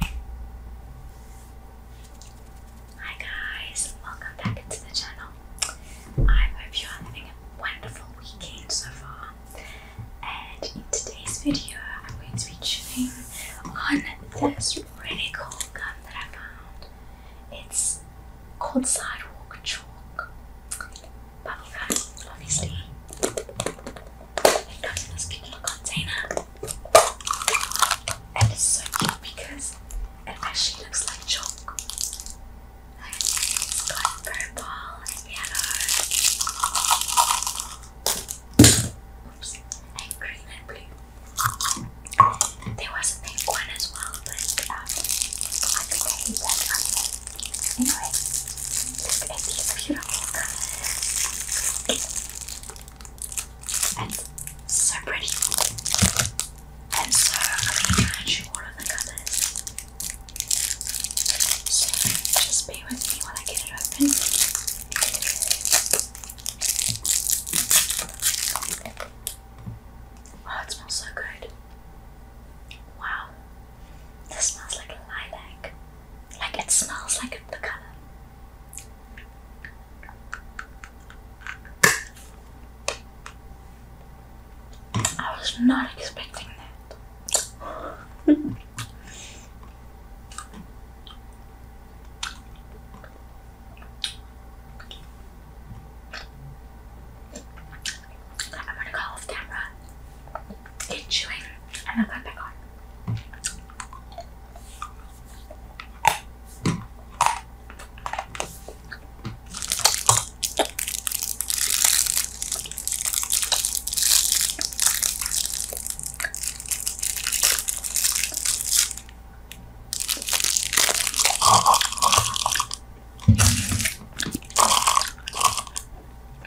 Hi guys, welcome back into the channel. I hope you are having a wonderful weekend so far. And in today's video, I'm going to be chewing on this really cool gum that I found. It's called Sidewalk Chalk. Bubblegum, obviously. It comes in this cute container. And it's so cute because it actually looks like chalk. it's got purple and yellow. And green and blue. There was a pink one as well, but um, I think I hate that one. Anyway, look at these beautiful and so pretty and so I'm going to try and shoot the colours so just be with me when I get it open oh it smells so good wow this smells like lilac like it smells like the colour I was not expecting that. I'm gonna go off camera it's chewing and I got back on.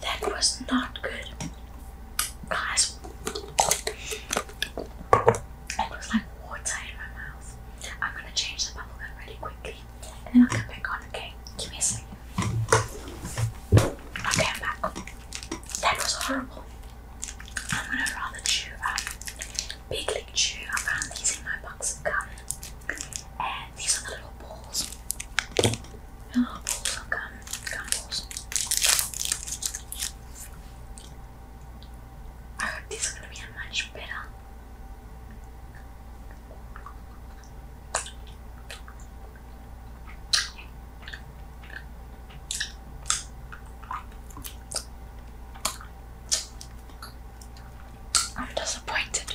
That was not good. Guys, it was like water in my mouth. I'm gonna change the bubblegum really quickly and then I'll come back on, okay? Give me a second. Okay, I'm back. That was horrible. I'm gonna rather chew um, big lick chew. I found these in my box of gum. And these are the little balls. little balls of gum, gum balls. these are gonna be much better. I'm disappointed.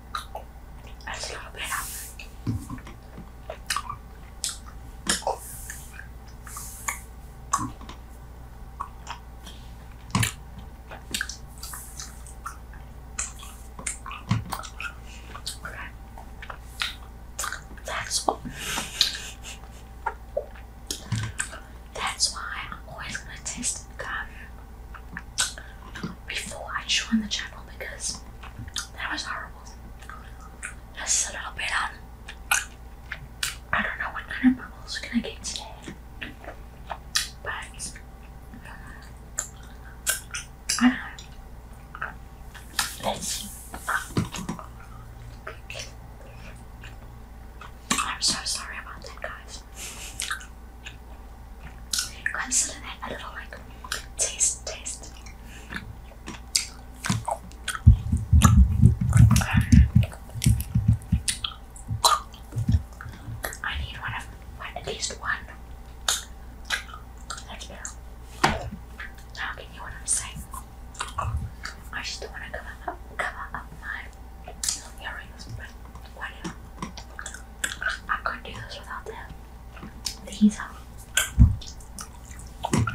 That's what that's why I'm always gonna test good before I joined the channel because that was horrible. Just a little bit I don't know what kind of bubbles can I get today, but I don't know. Let's I'm so sorry about that, guys. I need one of at least one. That's better. Now can you know what I'm saying? I just don't want to cover up, cover up my earrings, but whatever. I couldn't do this without them. These are. Okay.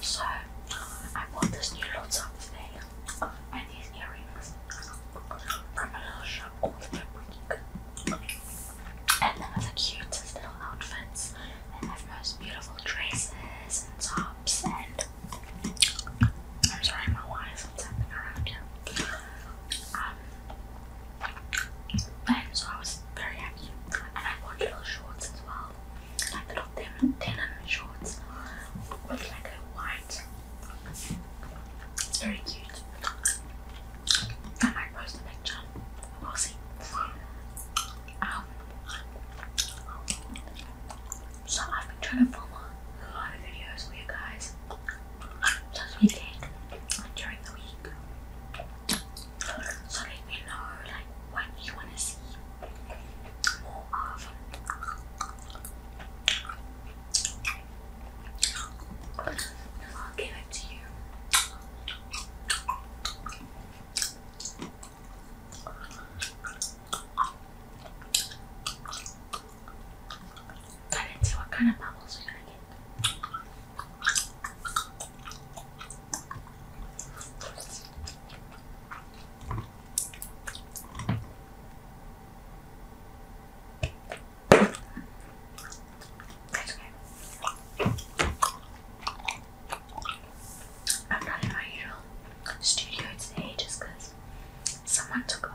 So, I bought this new little top thing and these earrings from a little shop called Fabric. And them are the cutest little outfits. They have most beautiful dresses and tops and I'm sorry, my wine is tapping around here. Um, so I was very happy, and I bought little shorts as well, like little denim, denim shorts with like a white. It's very cute. I might post a picture. We'll see. Um, so I've been trying to film a lot of videos for you guys this weekend and during the week. So let me know like what you wanna see more of. I'll give it to you. Cut and see what kind of bubbles we're gonna get. That's okay. I'm not in my usual studio today just someone took over.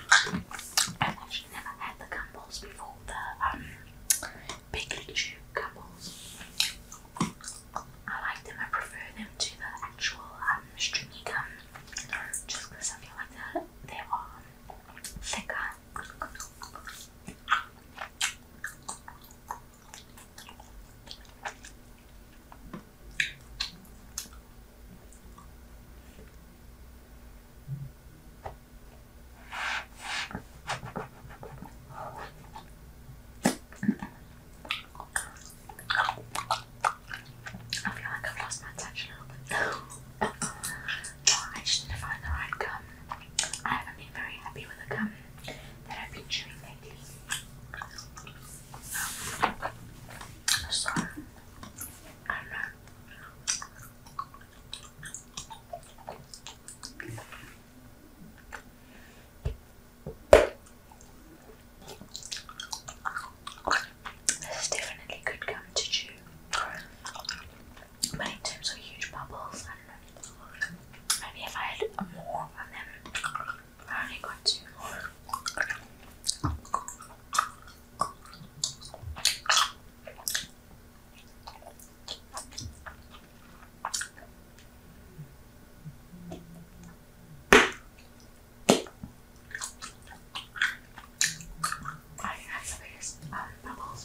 I've actually never had the gumballs before, the um, big tube gumballs. I like them, I prefer them to the actual um, stringy gum just I feel like they're, um, thicker I feel like I've lost my attention oh, I just need to find the right gum. I haven't been very happy with the gum that I've been chewing lately. So, um, This is definitely good gum to chew. But in terms huge bubbles, I don't know. Maybe if I had more of them, I only got two I think the biggest um, bubbles.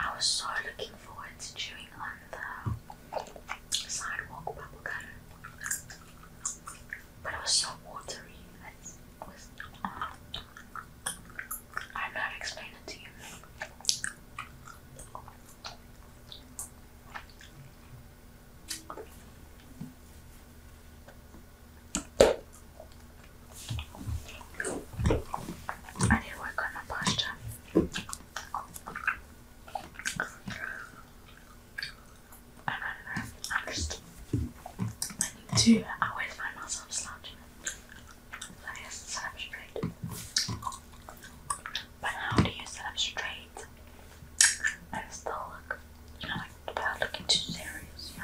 I was so looking forward to chewing on the sidewalk bubble but it was so watery. I'm not it to you. I need to work on my posture. I don't know. I'm just. I need to. I always find myself slouching. I guess sit up straight. But how do you sit up straight I still look, you know, bad looking too serious,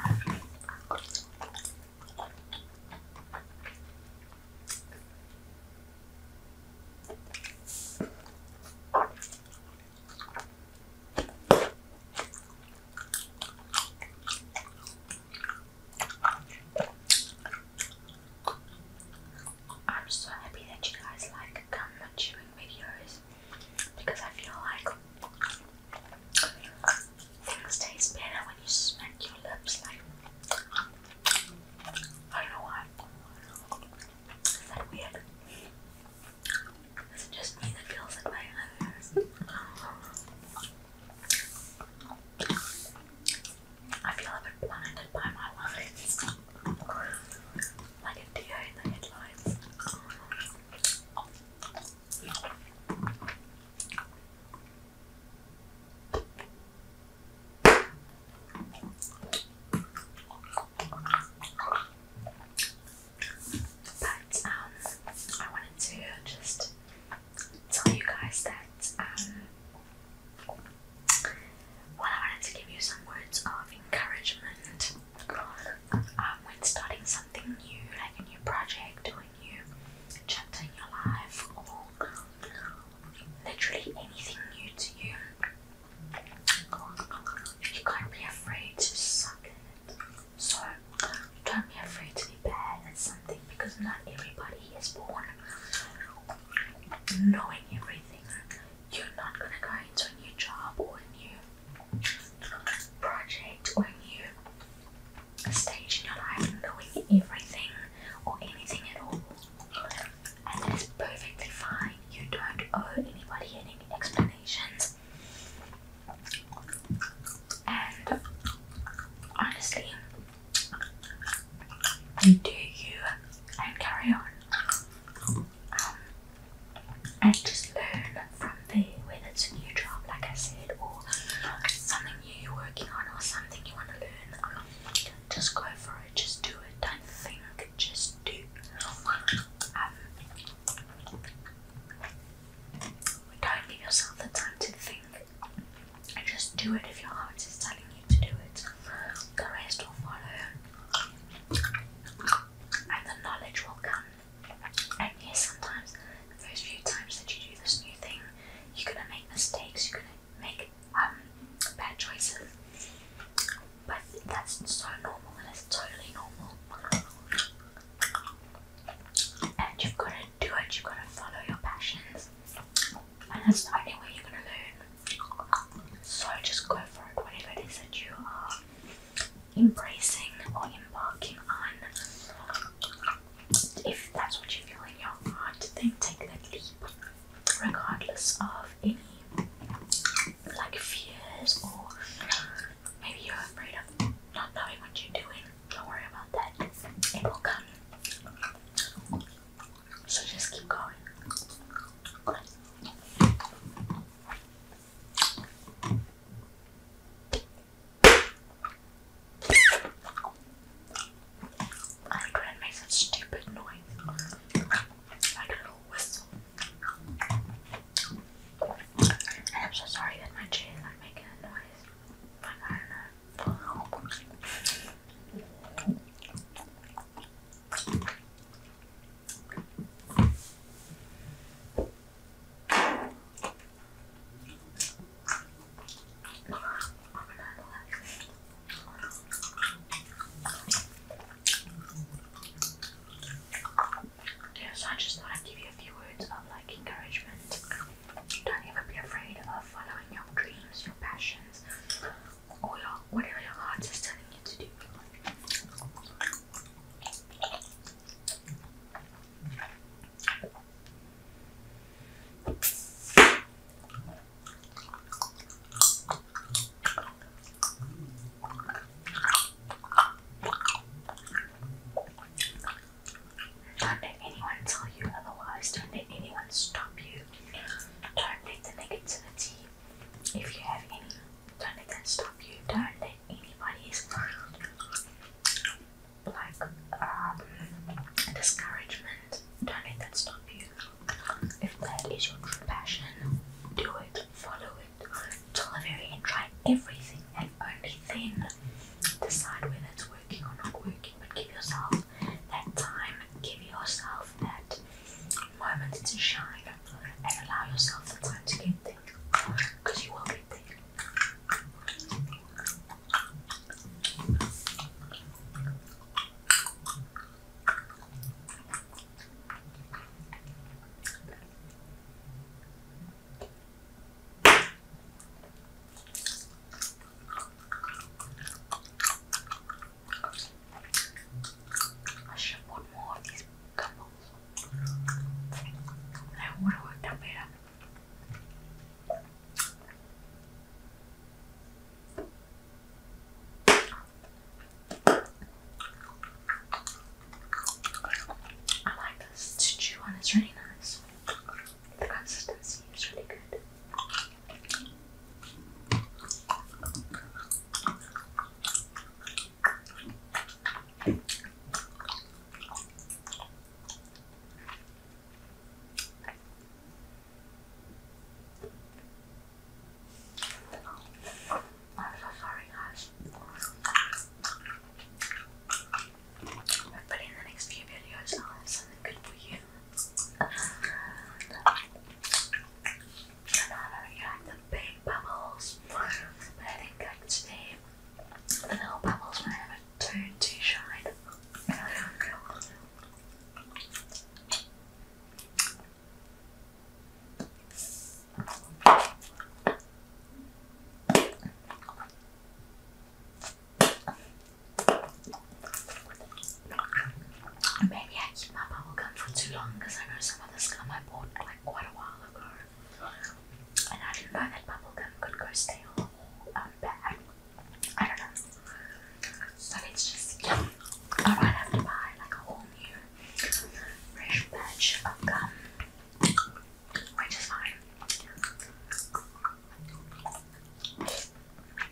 I'm so happy that you guys like gum chewing videos because I feel like things taste better when you smack your lips. Like I don't know why. Is that weird? Is it just me that feels that way? I I feel a bit blinded by my lines like a deer in the headlights. But um, I wanted to just tell you guys that um, well, I wanted to give you some words of encouragement um, when starting something new, like a new project or a new chapter in your life, or literally anything new to you. You can't be afraid to suck at it. So, don't be afraid to be bad at something because not everybody is born knowing everything you're not gonna go into a new job or a new project or a new stage in your life knowing everything or anything at all. And that is perfectly fine. You don't owe anybody any explanations. And honestly, do you and carry on. Um, and just learn from the whether it's a new job, like I said, or something new you're working on, or something you want to learn. Just go for it, just do it, don't think, just do. Um, don't give yourself the time to think. Just do it if your heart is telling you going to do it. The rest will follow, and the knowledge will come. And yes, sometimes the few times that you do this new thing, you're gonna make mistakes. You're gonna make um, bad choices, but that's so normal, and it's totally normal. And you've got to do it. You've got to follow your passions, and that's the only way you're gonna learn. So just go for it. Whatever it is that you are embracing or embarking on, if that's what you feel in your heart, then take that leap, regardless of any like fears or maybe you're afraid of not knowing what you're doing. Don't worry about that. It will come. So just keep going. stupid noise. I do a whistle. And I'm so sorry that my chair is making a noise. But I don't know. Yeah, so I just thought i give you a few words of like encouragement. Don't ever be afraid of following your dreams, your passions, or your what are your heart is telling you to do. Don't let anyone tell you otherwise. Don't let anyone stop you. Terminate the negativity if you have any. do Turn it and stop you. Don't let anybody like um, discouragement. Don't let that stop you. If that is your true passion, do it. Follow it till the very end. Try everything and only then decide whether it's working or not working but give yourself that time, give yourself that moment to shine, and allow yourself the time to get things because you will get there. I should put more of these couples. I would have worked out better. I like this. To chew on It's really nice. The consistency is really good. I'm so sorry, guys. But in the next few videos, i something good for you. And I really like the big bubbles, but I think like the little bubbles were a too too shine. Maybe I keep my bubble gum for too long because I know some of this gum I like quite a while ago. And I did that bubble gum could go stale um, I don't know. So it's just, I might have to buy like a whole new fresh batch of gum, which is fine.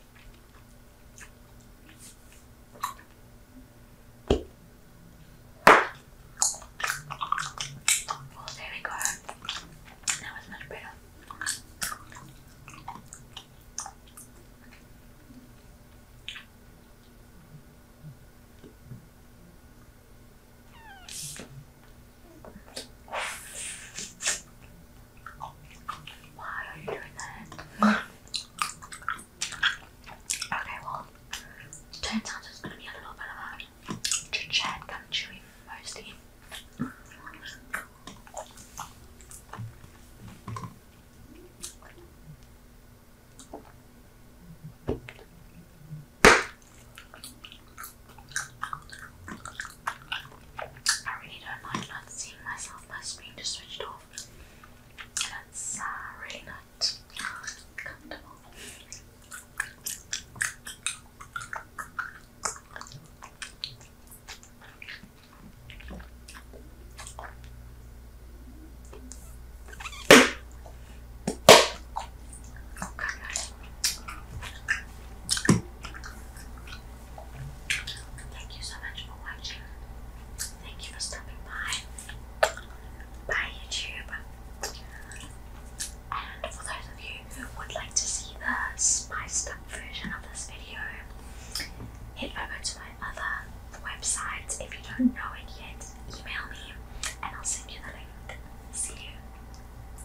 Oh, there we go. That was much better. Why are you doing that? Okay, well, turns out it's going to be a little bit of a chit chat, gum chewing mostly. I really don't like not seeing myself, my screen just switched off. And uh, not comfortable. Thank you so much for watching. Thank you for stopping by. Bye, YouTube. And for those of you who would like to see the spice up version of this video, hit over to my other website. If you don't know it yet, email me and I'll send you the link. See you.